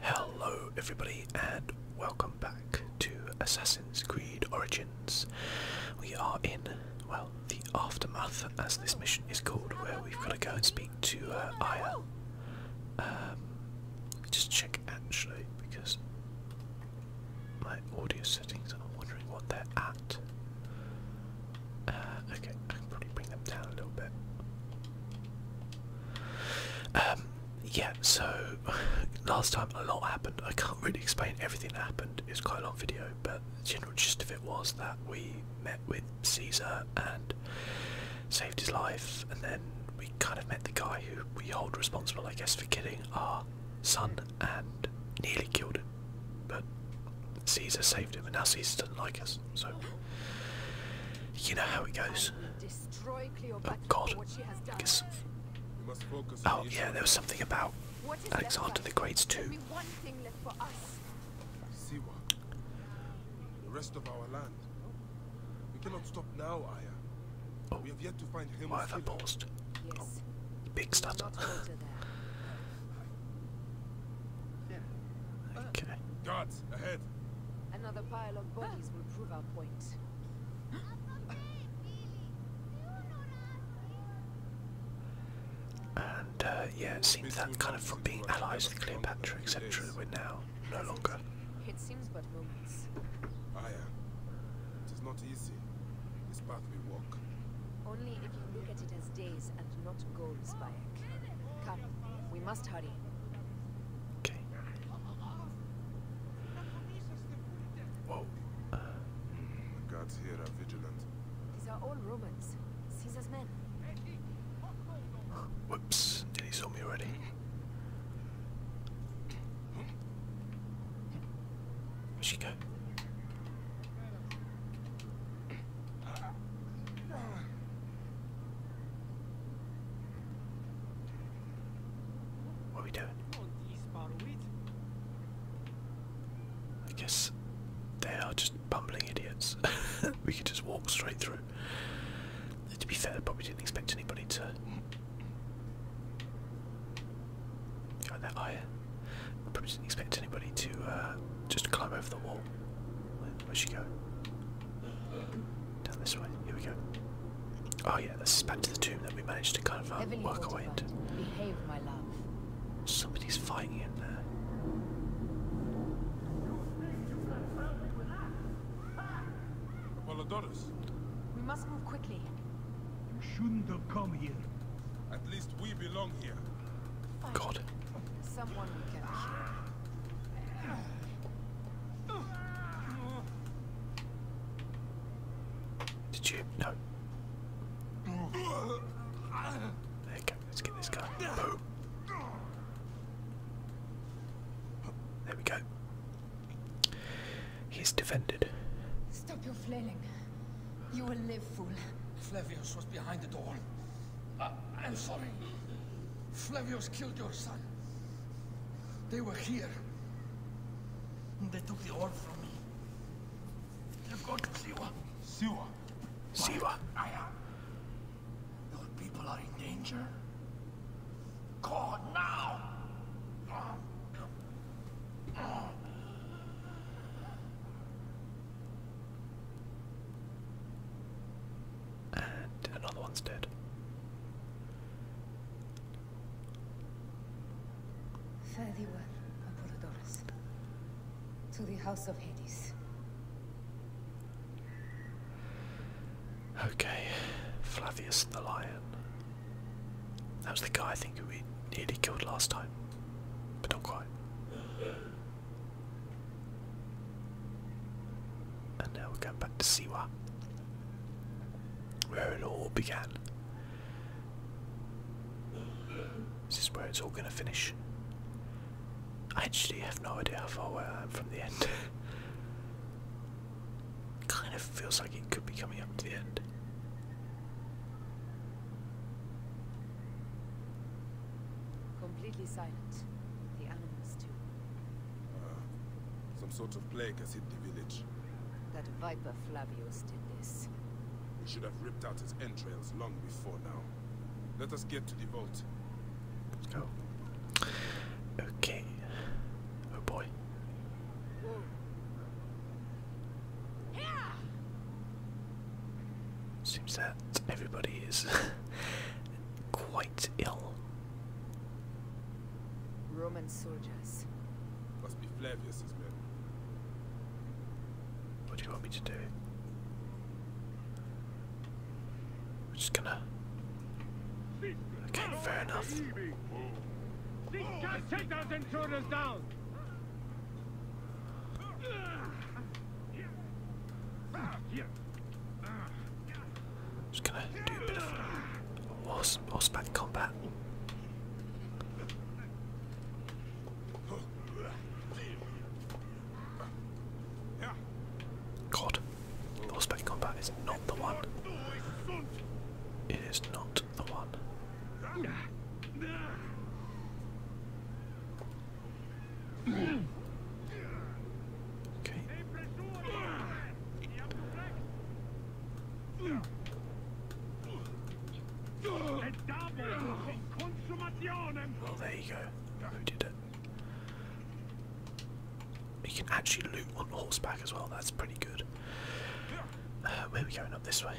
Hello everybody and welcome back to Assassin's Creed Origins. We are in, well, the aftermath as this mission is called, where we've got to go and speak to uh, Aya. Um, just check actually, because my audio settings, I'm wondering what they're at. Uh, okay, I can probably bring them down a little bit. Um, yeah, so last time a lot happened. I can't really explain everything that happened. It's quite a long video, but the general gist of it was that we met with Caesar and saved his life, and then we kind of met the guy who we hold responsible, I guess, for killing our son and nearly killed him. But Caesar saved him, and now Caesar doesn't like us. So you know how it goes. Oh God! I guess. Oh yeah, there was something about Alexander the Great too. Siwa, the rest of our land. We cannot stop now, Aya. Oh, we have yet to find him. Why have I paused? Oh, big stutter. okay ahead! Another pile of bodies will prove our point. And uh, yeah, it seems that kind of from being allies with Cleopatra, etc., we're now no longer. It seems but moments. Aya, ah, it is not easy. This path we walk. Only if you look at it as days and not goals, Bayek. Come, we must hurry. Okay, Whoa. the guards here are vigilant. These are all Romans. Caesar's men. Whoops. Did he saw me already? where she go? What are we doing? I guess they are just bumbling idiots. we could just walk straight through. To be fair, probably didn't expect anybody to find that higher. probably didn't expect anybody to uh, just climb over the wall. Where'd she go? Down this way. Here we go. Oh yeah, this is back to the tomb that we managed to kind of um, work our way into. Behave, my love. Somebody's fighting in there. Apollodorus. We must move quickly. You shouldn't have come here. At least we belong here. Fine. God. Someone we can hear. Did you? No. There you go. Let's get this guy. There we go. He's defended. Stop your flailing. You will live, fool. Flavius was behind the door. I'm sorry. Flavius killed your son. They were here. They took the orb from me. They've gone to Siwa. Siwa? Siwa. I am. Your people are in danger. Go now! and another one's dead. Fare thee well, Apollodorus. To the house of Hades. Okay, Flavius the Lion. That was the guy I think who we nearly killed last time, but not quite. And now we're going back to Siwa, where it all began. This is where it's all going to finish. I actually have no idea how far away I am from the end. kind of feels like it could be coming up to the end. Completely silent. The animals too. Uh, some sort of plague has hit the village. That viper Flavius did this. We should have ripped out his entrails long before now. Let us get to the vault. Oh. Okay. Oh boy. Seems that everybody is quite ill. Roman soldiers. Must be Flavius's men. What do you want me to do? We're just gonna. Okay, fair take those intruders down. Just gonna do a bit of uh, horseback combat. God, horseback combat is not the one. It is not the one. Well, there you go. Who did it? You can actually loot on horseback as well. That's pretty good. Uh, where are we going up this way?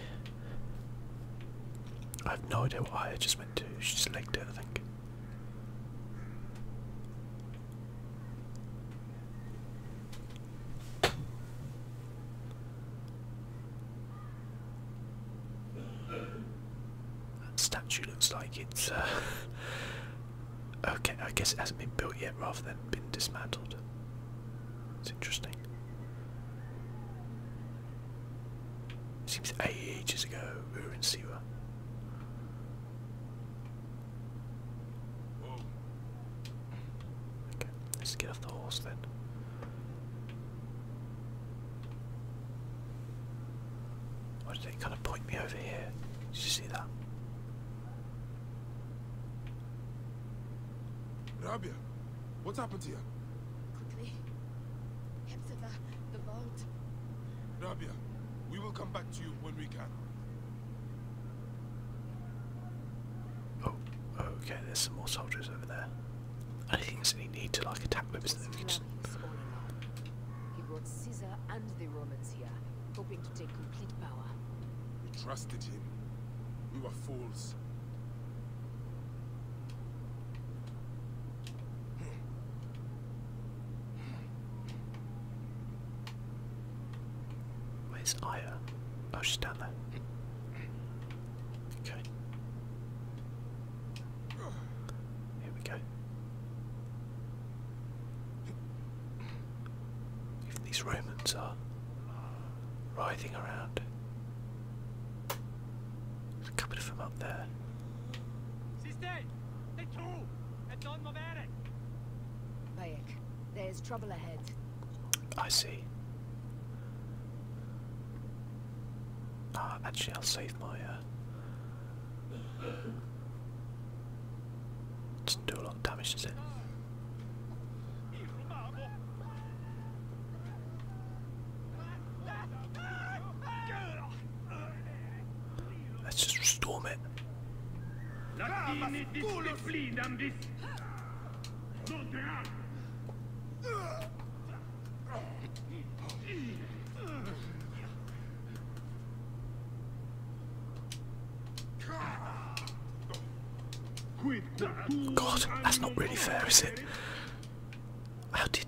I have no idea what I just went to. She just legged it, I think. That statue looks like it's uh, okay. I guess it hasn't been built yet, rather than been dismantled. It's interesting. It seems ages ago we were in Siwa. Okay, let's get off the horse then. Why did it kind of point me over here? Did you see that? Rabia, what happened here? Quickly. Head to the, the vault. Rabia, we will come back to you when Oh, okay, there's some more soldiers over there. I think there's need to like attack with us that He brought Caesar and the Romans here, hoping to take complete power. We trusted him. We were fools. Where's Aya? Oh, she's down there. Okay. Here we go. these Romans are writhing around. a couple of them up there. Sister! They too! It's on Mavatic! there's trouble ahead. I see. Uh, actually, I'll save my. Uh... Doesn't do a lot of damage, does it? Let's just storm it. God, that's not really fair, is it? How did.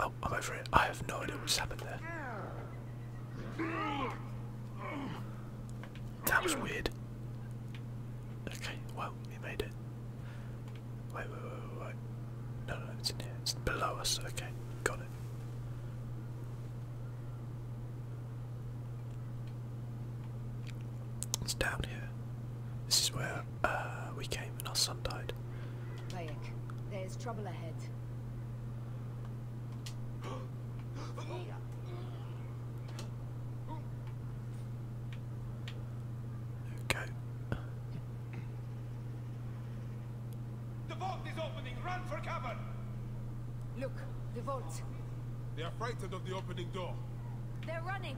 Oh, I'm over it. I have no idea what's happened there. That was weird. Okay, well, we made it. Wait, wait, wait, wait, No, no, it's in here. It's below us. Okay, got it. It's down here. This is where uh, we came and our son died. there's trouble ahead. Okay. The vault is opening. Run for cover. Look, the vault. They are frightened of the opening door. They're running.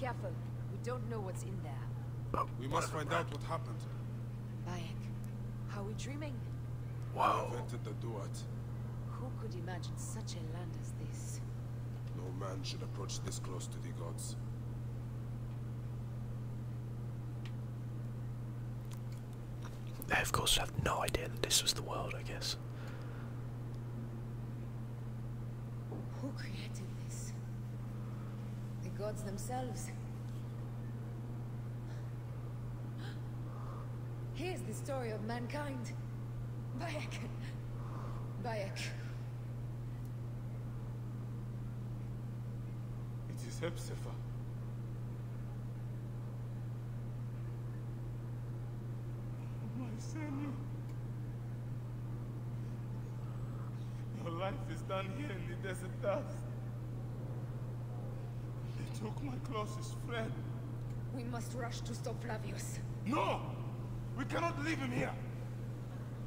Careful. We don't know what's in there. Oh, we must find out what happened. Bayek, how are we dreaming? the Duat. Who could imagine such a land as this? No man should approach this close to the gods. They of course have no idea that this was the world, I guess. Who created this? The gods themselves? Here's the story of mankind. Bayek. Bayek. It is Hepzibah. My Samuel. Your life is down here in the desert dust. They took my closest friend. We must rush to stop Flavius. No! We cannot leave him here.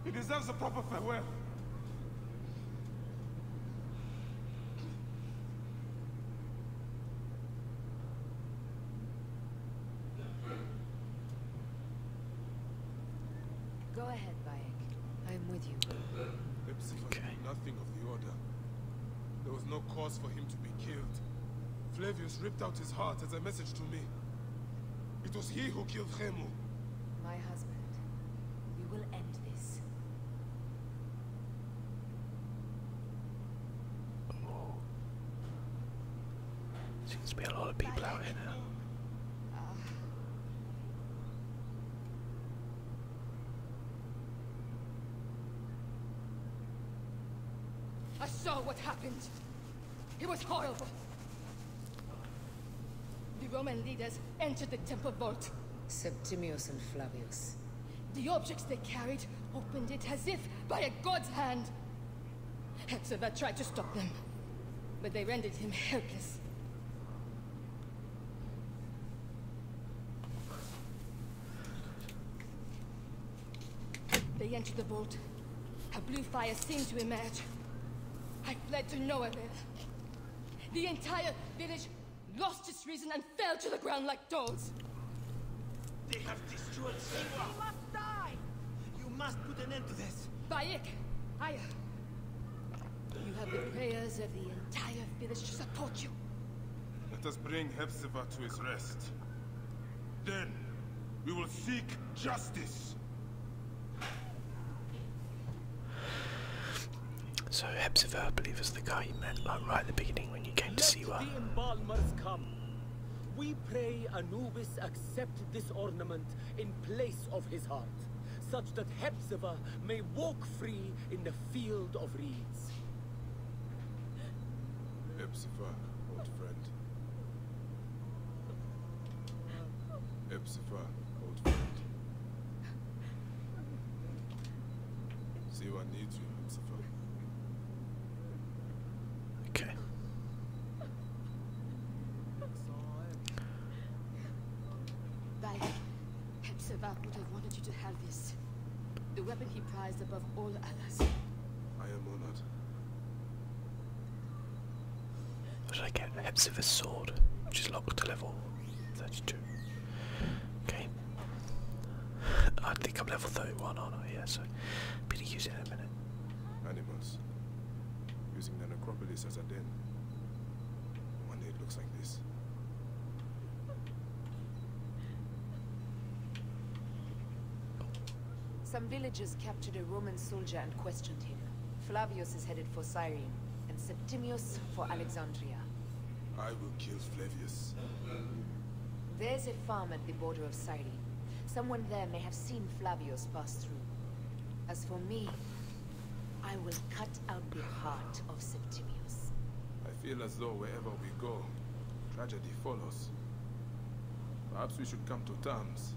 He deserves a proper farewell. Go ahead, bye. I am with you. Epsiphus okay. nothing of the order. There was no cause for him to be killed. Flavius ripped out his heart as a message to me. It was he who killed Chemu. My husband. We will end this. Oh. Seems to be a lot of people out here I saw what happened. It was horrible. The Roman leaders entered the temple vault. Septimius and Flavius. The objects they carried opened it as if by a god's hand. Hepzibah tried to stop them, but they rendered him helpless. They entered the vault. A blue fire seemed to emerge. I fled to no The entire village lost its reason and fell to the ground like dolls. They have destroyed Siwa. You must die! You must put an end to this. Bayek, Aya, you have the prayers of the entire village to support you. Let us bring Hepzibah to his rest. Then, we will seek justice. So Hepzibah, I believe, is the guy you met right at the beginning when you came to see her. the embalmers come. We pray Anubis accept this ornament in place of his heart such that Hepzibah may walk free in the field of reeds. Hepzibah, old friend. Hepzibah, old friend. Siwa needs you, Hepzibah. Okay. Bye. Hepzibah would have wanted you to have this. The weapon he prized above all others. I am honored. What did I get? Hepzibah's sword, which is locked to level 32. Okay. I think I'm level 31, aren't I? Yeah, so I'm going to use it in a minute. Animals. Using the necropolis as a den. One day it looks like this. Some villagers captured a Roman soldier and questioned him. Flavius is headed for Cyrene, and Septimius for Alexandria. I will kill Flavius. There's a farm at the border of Cyrene. Someone there may have seen Flavius pass through. As for me, I will cut out the heart of Septimius. I feel as though wherever we go, tragedy follows. Perhaps we should come to terms.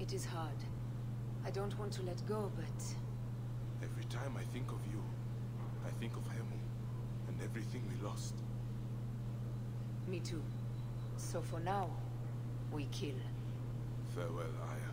It is hard. I don't want to let go, but... Every time I think of you, I think of Hemu, and everything we lost. Me too. So for now, we kill. Farewell, Aya.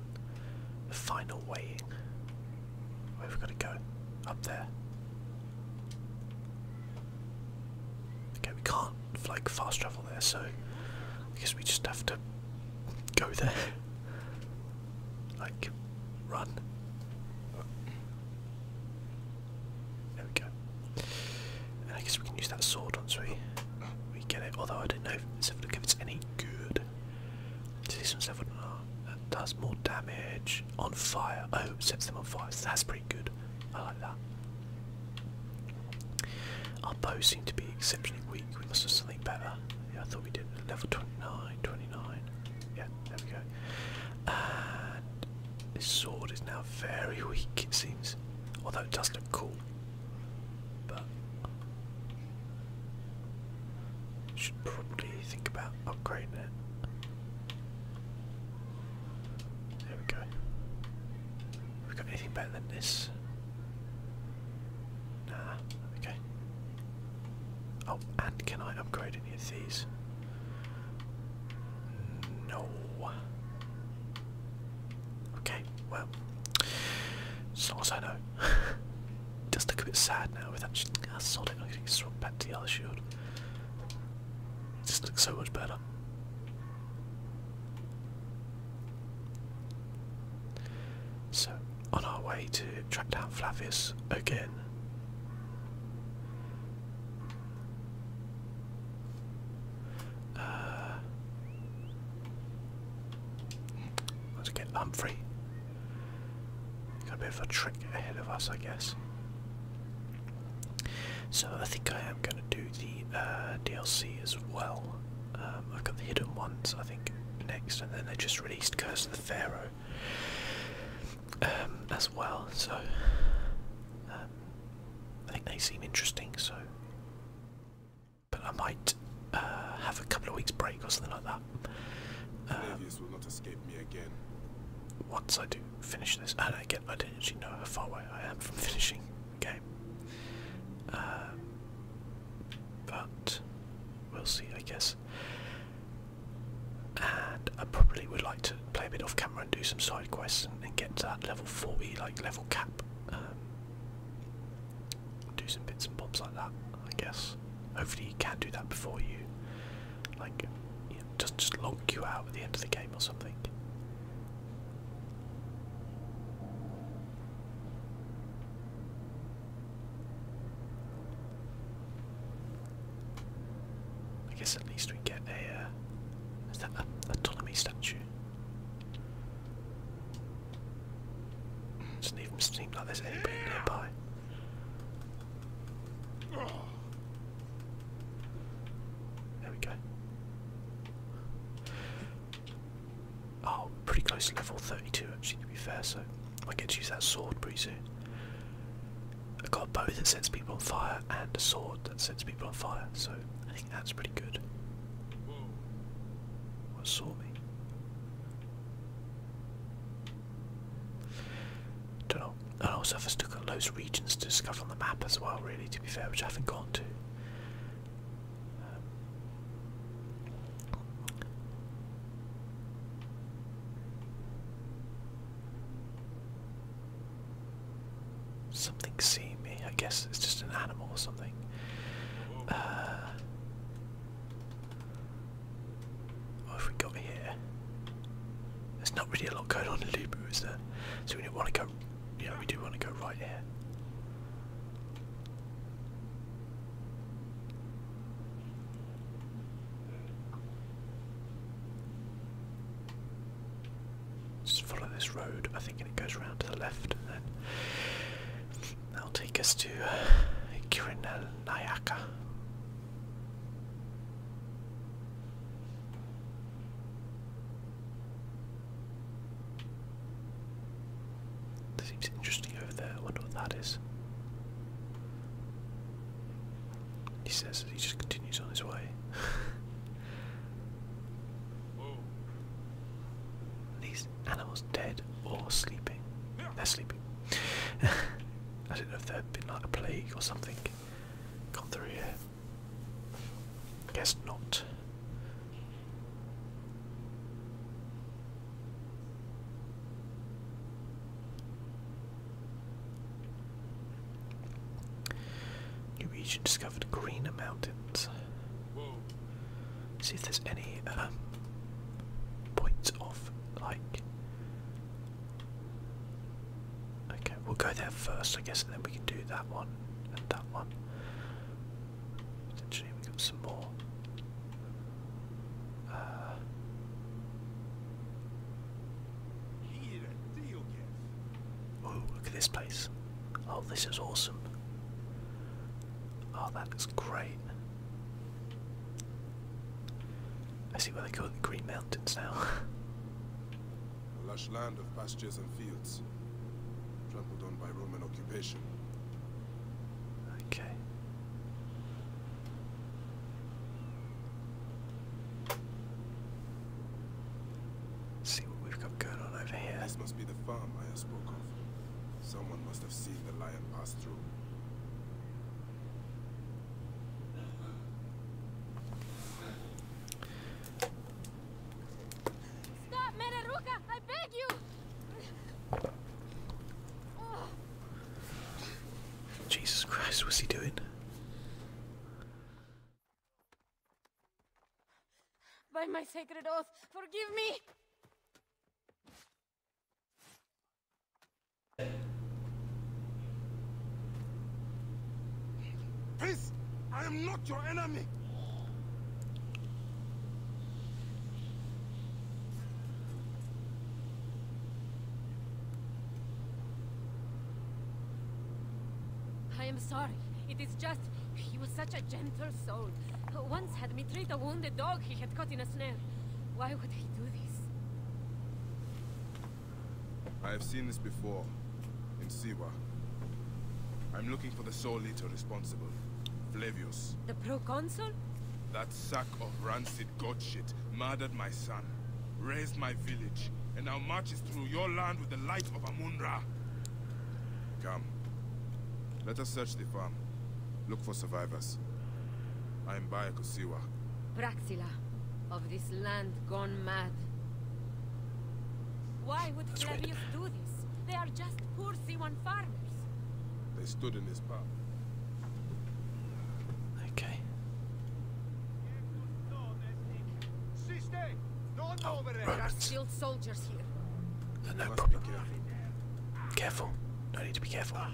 The final weighing. Where have we got to go? Up there. Okay, we can't like fast travel there, so I guess we just have to go there. like, run. There we go. And I guess we can use that sword once we we get it. Although I don't know if it's any good. Season 7, oh, uh, that does more damage. On fire. Oh, sets them on fire. that's pretty good. I like that. Our bows seem to be exceptionally weak. We must have something better. I thought we did. Level 29, Yeah, there we go. And this sword is now very weak, it seems. Although it does look cool. But should probably think about upgrading it. There we go. we got anything better than this? Nah, okay. Oh, and can I upgrade any of these? No. Okay, well, as long as I know. it does look a bit sad now with that. Ah, sod getting swapped back to the other shield. It just looks so much better. So, on our way to track down Flavius again. Uh, Let's get Humphrey. Got a bit of a trick ahead of us, I guess. So I think I am going to do the uh, DLC as well. Um, I've got the hidden ones, I think, next, and then they just released Curse of the Pharaoh um, as well. So um, I think they seem interesting. So but I might uh, have a couple of weeks break or something like that. Um, will not escape me again. Once I do finish this, and again, I do not actually know how far away I am from finishing the game. Um, but we'll see, I guess. And I probably would like to play a bit off camera and do some side quests and, get to that level 40, like level cap. Um, do some bits and bobs like that, I guess. Hopefully, you can not do that before you, like, you know, just just log you out at the end of the game or something. I guess at least we get a. Uh, is that an autonomy statue? It Doesn't even seem like there's anybody nearby. There we go. Oh, pretty close to level 32 actually to be fair, so I get to use that sword pretty soon. I've got a bow that sets people on fire and a sword that sets people on fire, so I think that's pretty good. What saw me? Don't know. And also, have a got of regions to discover on the map as well, really, to be fair, which I haven't gone to. something seeing me. I guess it's just an animal or something. Uh, what have we got here? There's not really a lot going on in Lubu, is there? So we do want to go. Yeah, we do want to go right here. Just follow this road, I think, it goes round to the left. Then That'll take us to Kirinayaka. Seems interesting over there. I wonder what that is. He says as he just continues on his way. animals dead or sleeping? They're sleeping. I don't know if there had been like a plague or something gone through here. Guess not. New region discovered greener mountains. See if there's any um, points of like. Okay, we'll go there first, I guess, and then we can do that one and that one. Potentially, we got some more. oh, look at this place. Oh, this is awesome. Oh, that looks great. I see where they call it the Green Mountains now. A lush land of pastures and fields, trampled on by Roman occupation. Okay. see what we've got going on over here. This must be the farm I spoke of. Someone must have seen the lion pass through. Stop, Meneruka! I beg you! Jesus Christ, what's he doing? By my sacred oath, forgive me! Peace! I am not your enemy! I am sorry. It is just... He was such a gentle soul. Once had me treat a wounded dog he had caught in a snare. Why would he do this? I have seen this before, in Siwa. I'm looking for the Soul Eater responsible, Flavius. The proconsul? That sack of rancid god shit murdered my son, razed my village, and now marches through your land with the life of Amunra. Come. Let us search the farm. Look for survivors. I am by a Kosiwa. Braxila, of this land gone mad. Why would That's Flavius do this? They are just poor c farmers. They stood in his path. Okay. Oh, right. There are still soldiers no problem. Careful. careful. No need to be careful. God.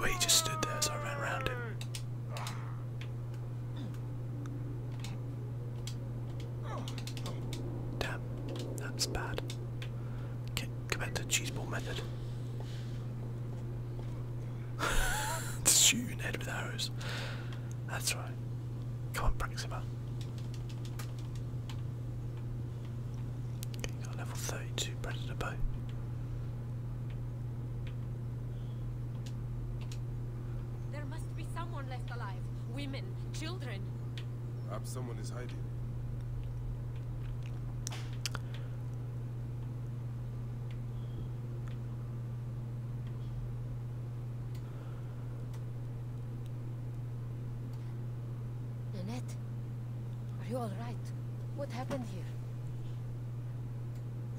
Wait, he just stood there, as I ran around him. Damn, that's bad. Okay, go back to the cheese ball method. Just shoot your head with arrows. That's right. Come on, Braxima got level 32 predator boat. There must be someone left alive. Women, children. Perhaps someone is hiding. Nanette, are you all right? What happened here?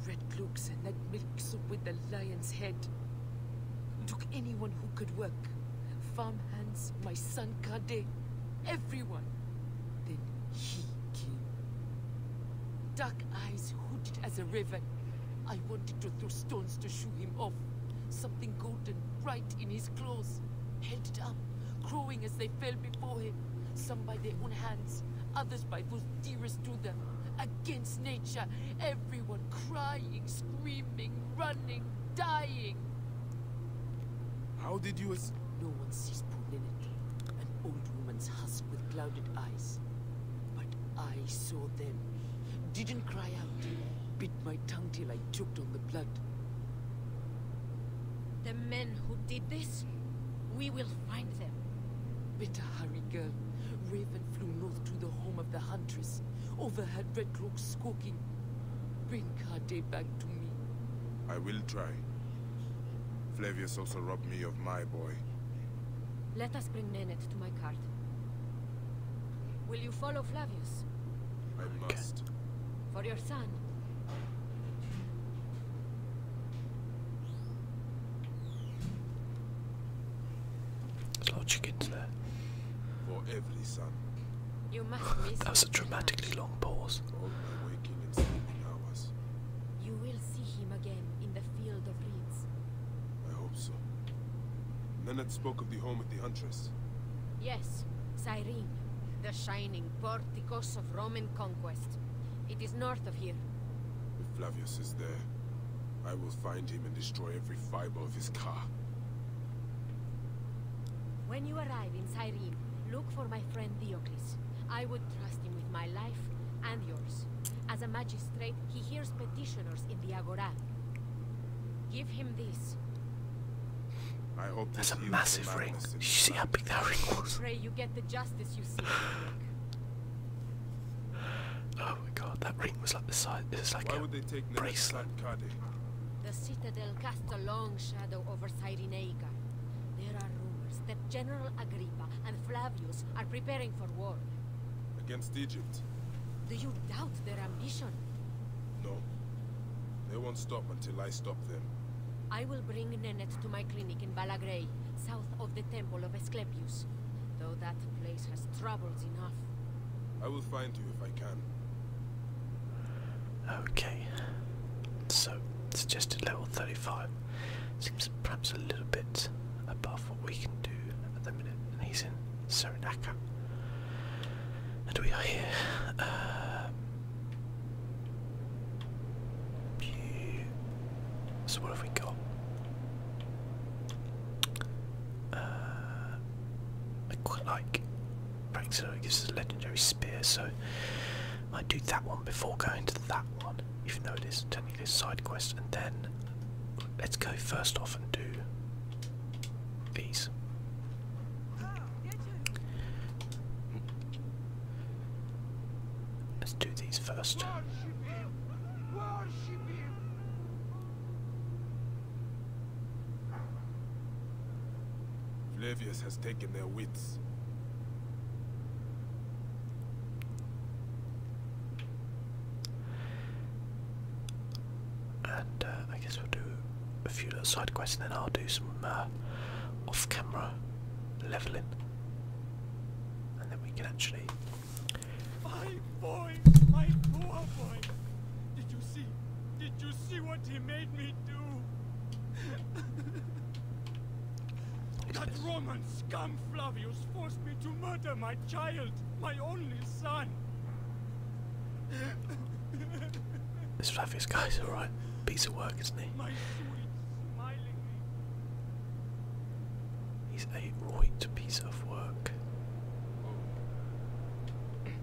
Red Cloaks and red milk soup with the lion's head. Took anyone who could work. Farm hands, my son Kade, everyone. Then he came. Dark eyes hooded as a raven. I wanted to throw stones to shoo him off. Something golden bright in his claws. Held it up, crowing as they fell before him some by their own hands, others by those dearest to them, against nature, everyone crying, screaming, running, dying. How did you No one sees Pulinity, an old woman's husk with clouded eyes. But I saw them, didn't cry out, bit my tongue till I choked on the blood. The men who did this, we will find them. Better hurry, girl. Raven flew north to the home of the Huntress, overheard Red cloak skulking. Bring Kade back to me. I will try. Flavius also robbed me of my boy. Let us bring Nenet to my cart. Will you follow Flavius? I must. For your son. There's a lot that was a dramatically long pause. You will see him again in the field of reeds. I hope so. Nenad spoke of the home of the Huntress. Yes, Cyrene, the shining Porticos of Roman conquest. It is north of here. If Flavius is there, I will find him and destroy every fiber of his car. When you arrive in Cyrene, look for my friend Diocles. I would trust him with my life and yours. As a magistrate, he hears petitioners in the Agora. Give him this. I hope that's a massive ring. you see how big that ring was? Pray you get the justice you seek. oh my god, that ring was like the size. It was like a bracelet. The citadel casts a long shadow over Cyrenaica. There are rumors that General Agrippa and Flavius are preparing for war. Against Egypt. Do you doubt their ambition? No. They won't stop until I stop them. I will bring Nenet to my clinic in Balagrey, south of the Temple of Asclepius. Though that place has troubles enough. I will find you if I can. Okay. So, suggested level 35. Seems perhaps a little bit above what we can do at the minute. And he's in Serenaka. And we are here. Uh, so what have we got? Uh, I quite like Praxo, it gives us a legendary spear, so I do that one before going to that one, even though it is technically this side quest, and then let's go first off and do these. Ah. Let's do these first. Flavius has taken their wits. And uh, I guess we'll do a few little side quests and then I'll do some uh, off camera leveling. And then we can actually. My boy, my poor boy. Did you see? Did you see what he made me do? that Roman scum Flavius forced me to murder my child, my only son. This Flavius guy's alright. Piece of work, isn't he? He's a right piece of work.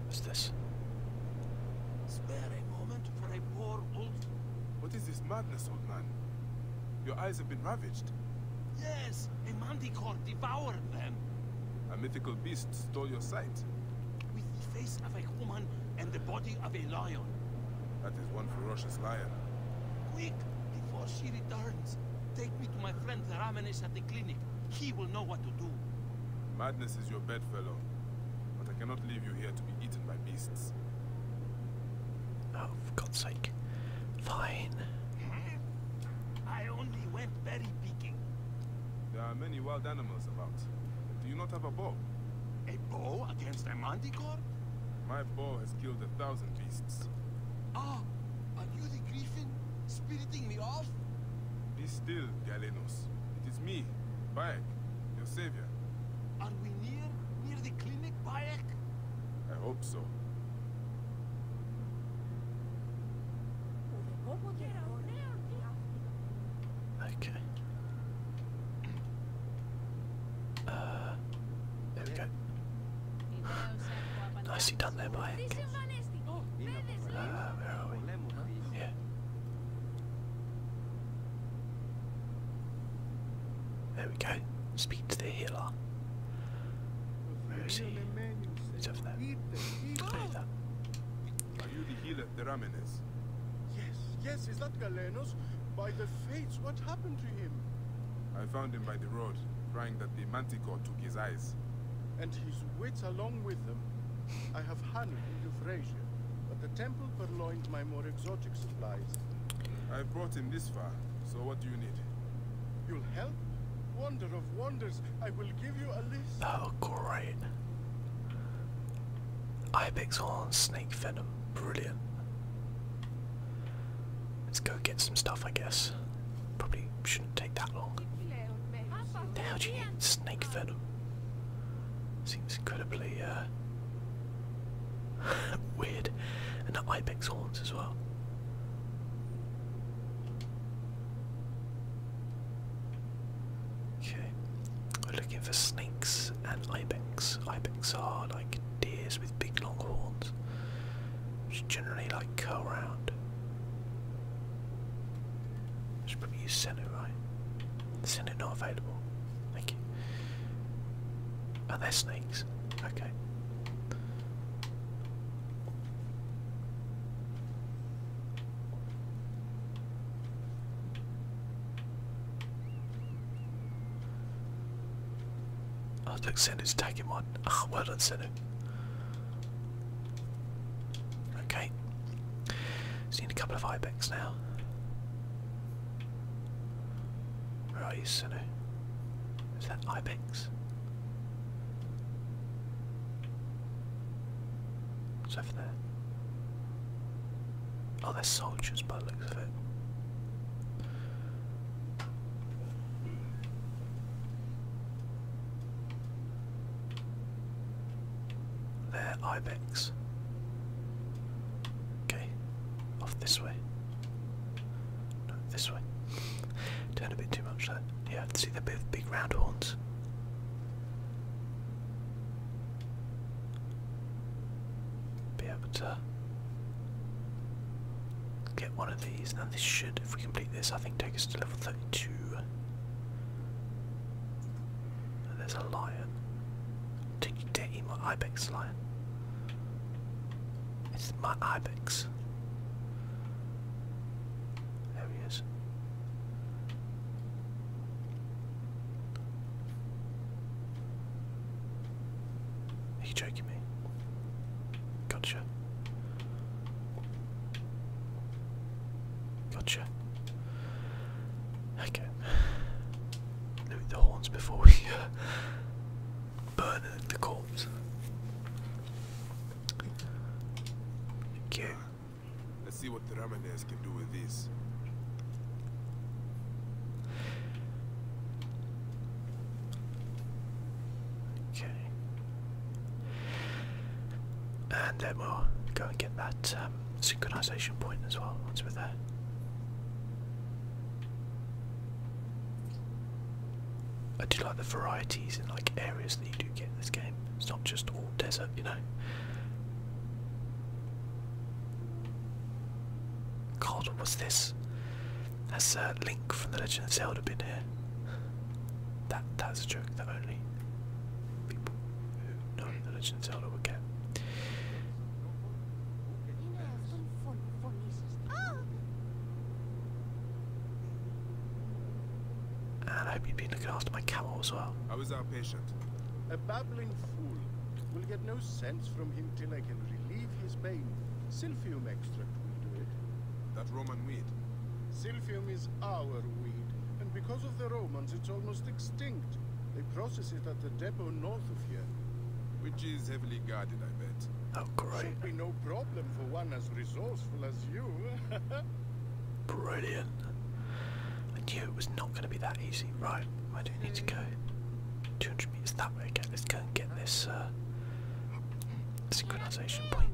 What's this? Spare a moment for a poor old. What is this madness, old man? Your eyes have been ravaged. Yes, a manticore devoured them. A mythical beast stole your sight. With the face of a woman and the body of a lion. That is one ferocious lion. Quick! Before she returns! Take me to my friend Ramenesh at the clinic. He will know what to do. Madness is your bedfellow. But I cannot leave you here to be eaten by beasts. Oh, for God's sake. Fine. Hmm? I only went berry picking. There are many wild animals about. Do you not have a boat? A bow against a manticore? My bow has killed a thousand beasts. Ah, are you the griffin, spiriting me off? Be still, Galenos. It is me, Bayek, your savior. Are we near, near the clinic, Bayek? I hope so. Okay. Uh, there we go. Nicely done there, by Hank. Uh, ah, where are we? Yeah. There we go. Speak to the healer. Where is he? He's over there. Over the Deramenes. Yes, yes, is that Galenos? By the fates, what happened to him? I found him by the road, crying that the manticore took his eyes. And his wits along with them. I have honey in Euphrasia, but the temple purloined my more exotic supplies. I have brought him this far, so what do you need? You'll help? Wonder of wonders, I will give you a list. Oh, great. Ibex horn, snake venom. Brilliant. Let's go get some stuff, I guess. Probably shouldn't take that long. How do you eat snake venom? Seems incredibly uh, weird. And the ibex horns as well. Okay, we're looking for snakes and ibex. Ibex are like deers with big long horns, which generally like curl round. I should probably use Senna, right? Senna not available. Thank you. And they're snakes. Okay. Oh, took Senu's tagging one. Ah, oh, well done, Senu. Okay. Just a couple of Ibex now. Where Senu? Is that Ibex? What's over there? Oh, they're soldiers but looks of it. They're ibex. Okay, off this way. No, this way. Turned a bit too much there. Yeah, see the big round horns be able to get one of these. Now this should, if we complete this, I think take us to level 32. there's a lion. Did you dare eat my ibex, lion? It's my ibex. There he is. Are joking me? Gotcha. Gotcha. Okay. Loot the horns before we uh, burn the corpse. Thank Let's see what the ramen Okay. And then we'll go and get that um, synchronization point as well once we're there. I do like the varieties in like areas that you do get in this game. It's not just all desert, you know. God, was this? Has uh, Link from The Legend of Zelda been here? That that's a joke that only people who know The Legend of Zelda would get. And I hope you've been looking after my camel as well. I was our patient. A babbling fool will get no sense from him till I can relieve his pain. Silphium extract will do it. That Roman weed? Silphium is our weed, and because of the Romans, it's almost extinct. They process it at the depot north of here. Which is heavily guarded, I bet. Oh, great. Should be no problem for one as resourceful as you. Brilliant. I knew it was not going to be that easy. Right. Right, I do need to go 200 meters that way again. Let's go and get this uh, synchronization point.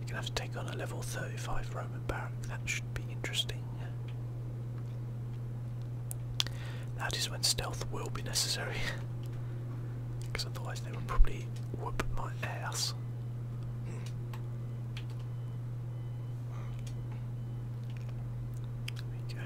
You're gonna have to take on a level 35 that should be interesting. That is when stealth will be necessary. Because otherwise they will probably whoop my ass. There we go.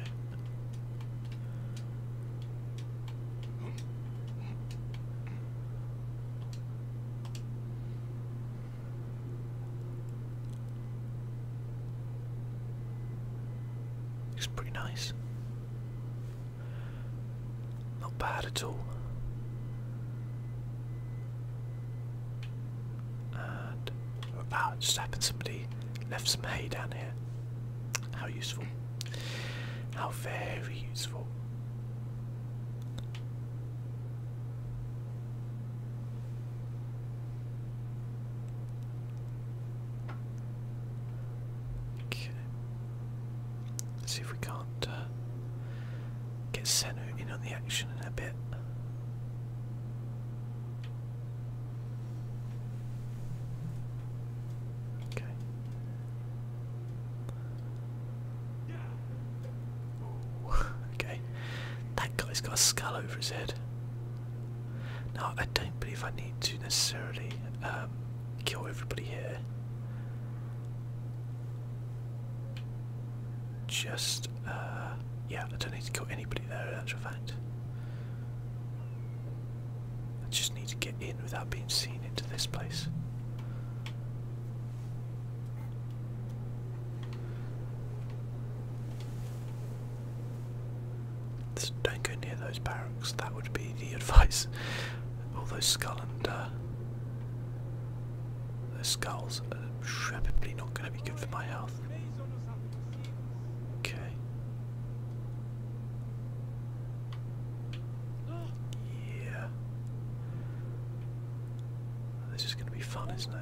It's pretty nice. Not bad at all. And ah, just happened somebody left some hay down here. How useful. How very useful. Okay. Let's see if we can't uh, get Senna in on the action in a bit. Okay okay. That guy's got a skull over his head. Now, I don't believe I need to necessarily um, kill everybody here. Just, uh, yeah, I don't need to kill anybody there in actual fact. I just need to get in without being seen into this place don't go near those barracks, that would be the advice. All those skull and uh, those skulls are probably not going to be good for my health. Okay. Yeah. This is going to be fun, isn't it?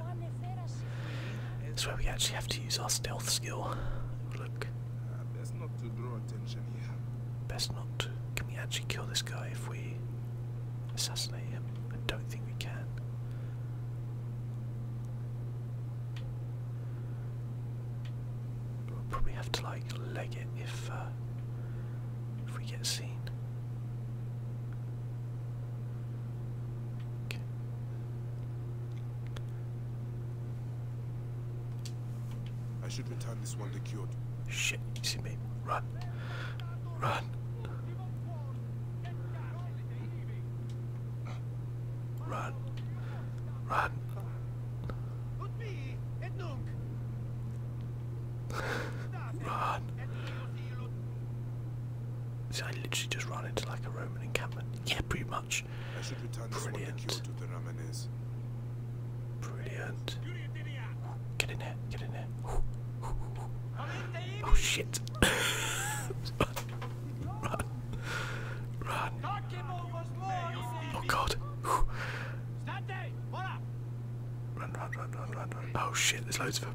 That's where we actually have to use our stealth skill. Look. Best not to draw attention here. Best not Can we actually kill this guy if we assassinate him? I don't think we can. We'll probably have to like leg it if uh, if we get seen. I should return this one to Shit, you see me. Run. Run. Run. Run. Run. See, I literally just ran into like a Roman encampment. Yeah, pretty much. Brilliant. Brilliant. Get in here, get in here. Oh shit. Run. Run. Oh god. run, run, run, run, run. Oh shit, there's loads of them.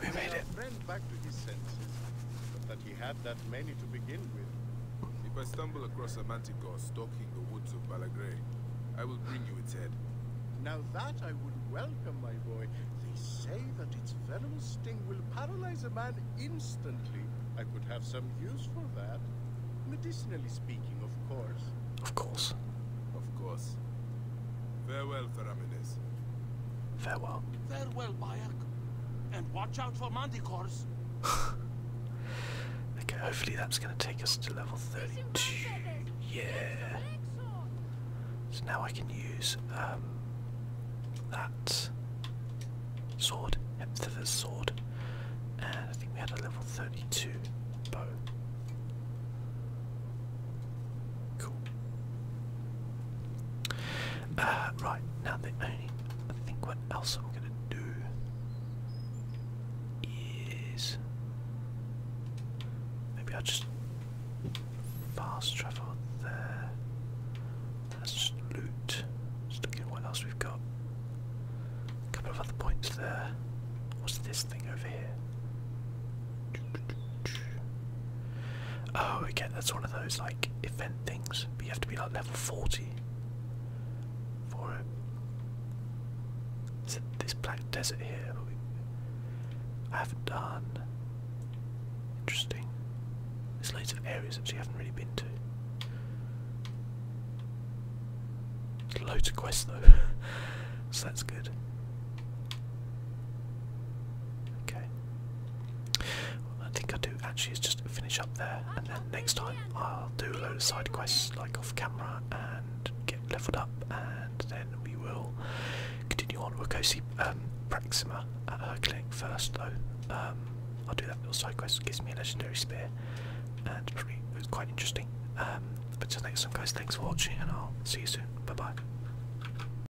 We made it. back to his senses, but that he had that many to begin with. If I stumble across a manticore stalking the woods of Balagre, I will bring you its head. Now that I would welcome, my boy. They say that its venomous sting will paralyze a man instantly. I could have some use for that. Medicinally speaking, of course. Of course. Of course. Farewell, Feramides. Farewell. Farewell, Bayek. And watch out for Manticores. okay, hopefully that's going to take us to level 32. Yeah. So now I can use um, that sword, Hepzibah's sword, and I think we had a level 32 bow. Cool. Uh, right, now the only, I think what else I'm going to do is, maybe i just fast travel there, let's just loot, just look at what else we've got, a couple of other points there, what's this thing over here? Oh, again, that's one of those like event things, you have to be like level 40 for it. Is it this black desert here? I haven't done. Interesting. There's loads of areas that you haven't really been to. There's loads of quests though, so that's good. Okay. I think I do actually is just finish up there and then next time I'll do a load of side quests like off camera and get leveled up and then we will continue on. We'll go see um, Praxima at her clinic first though. Um, I'll do that little side quest, gives me a legendary spear and probably it was quite interesting. Um, but till next time guys, thanks for watching and I'll see you soon. Bye bye.